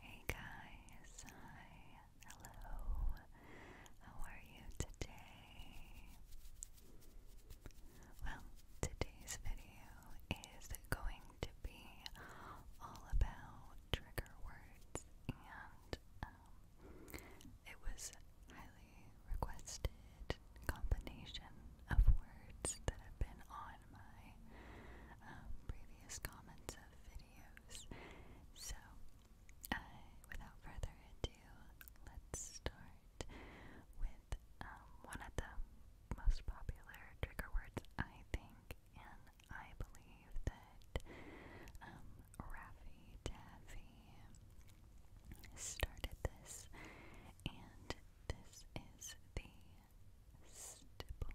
Hey guys, hi, hello, how are you today? Well, today's video is going to be all about trigger words, and um, it was highly requested combination of words that have been on on my um, previous comments of videos. So, uh, without further ado, let's start with um, one of the most popular trigger words, I think, and I believe that um, Raffy Taffy started this, and this is the stipple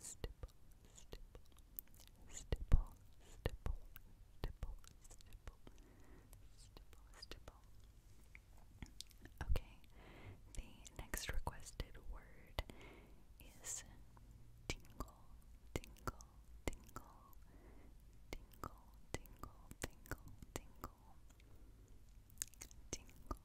stipple, stipple, Okay, the next requested word is tingle, tingle, tingle, tingle, tingle, tingle, tingle, tingle,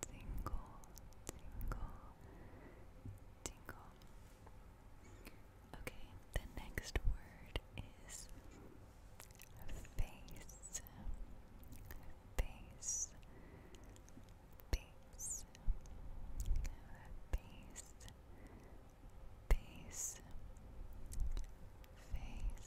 tingle, tingle, tingle. Okay, the next word is face, face, face, face, face, face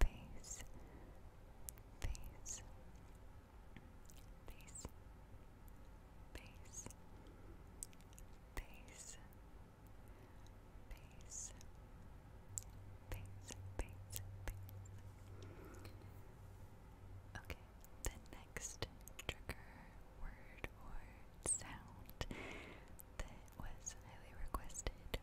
face, face, face, face, face. Face, face, face, face. Okay, the next trigger word or sound that was highly requested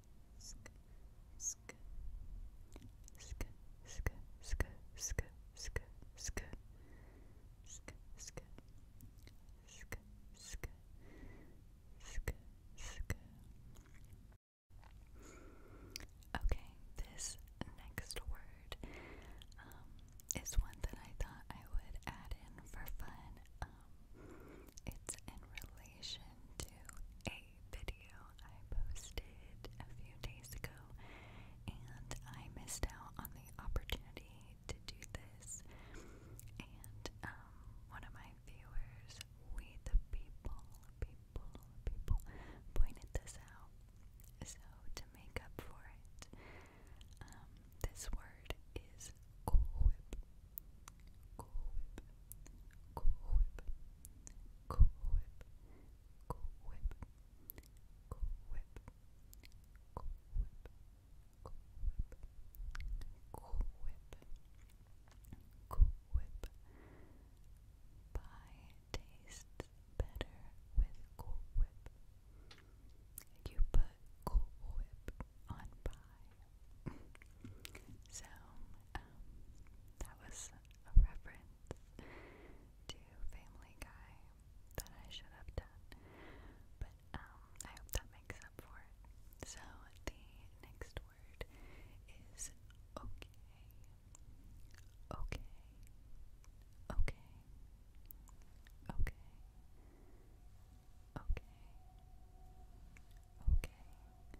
sk sk sk sk sk sk sk sk Okay, this next word um, is one that I thought I would add in for fun. Um, it's in relation to a video I posted a few days ago, and I missed out on the opportunity to do this. And um, one of my viewers, we the people, people, people, pointed this out. So to make up for it, um, this word is cool whip. Cool whip. Cool whip. Cool Whip, Cool Whip, Cool Whip, Cool Whip, Cool Whip, Cool Whip. Pie tastes better with Cool Whip. You put Cool Whip on pie. so, um, that was a reference to Family Guy that I should have done. But um, I hope that makes up for it. So the next word is okay. Okay. Okay. Okay. Okay. Okay.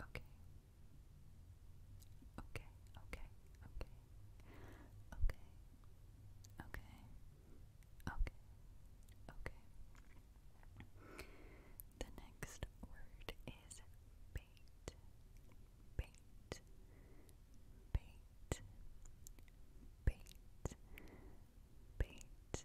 Okay. Okay. Okay, okay, okay. Okay. Okay. Okay. Okay. The next word is bait. Bait. Bait. Bait. Bait. Bait.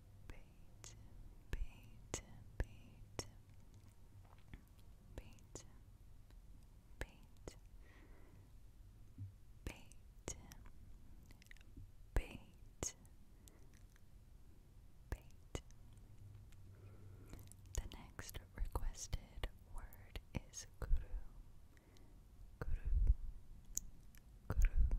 beat, beat, beat, beat, beat, beat, beat, beat. The next requested word is guru, guru. Guru,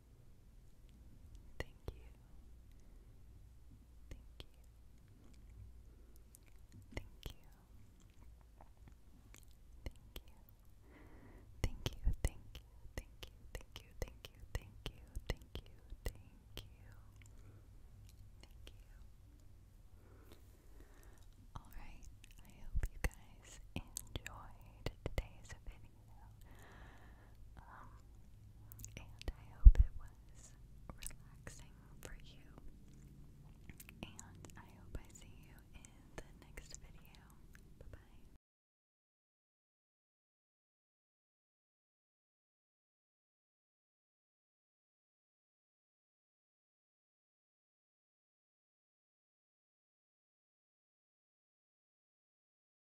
Thank you. Thank you. Thank you. Thank you. Thank you, thank you, thank you, thank you, thank you, thank you, thank you, thank you. Alright, I hope you guys enjoyed today's writing and I hope it was relaxing for you. And I hope I see you in the next video. bye.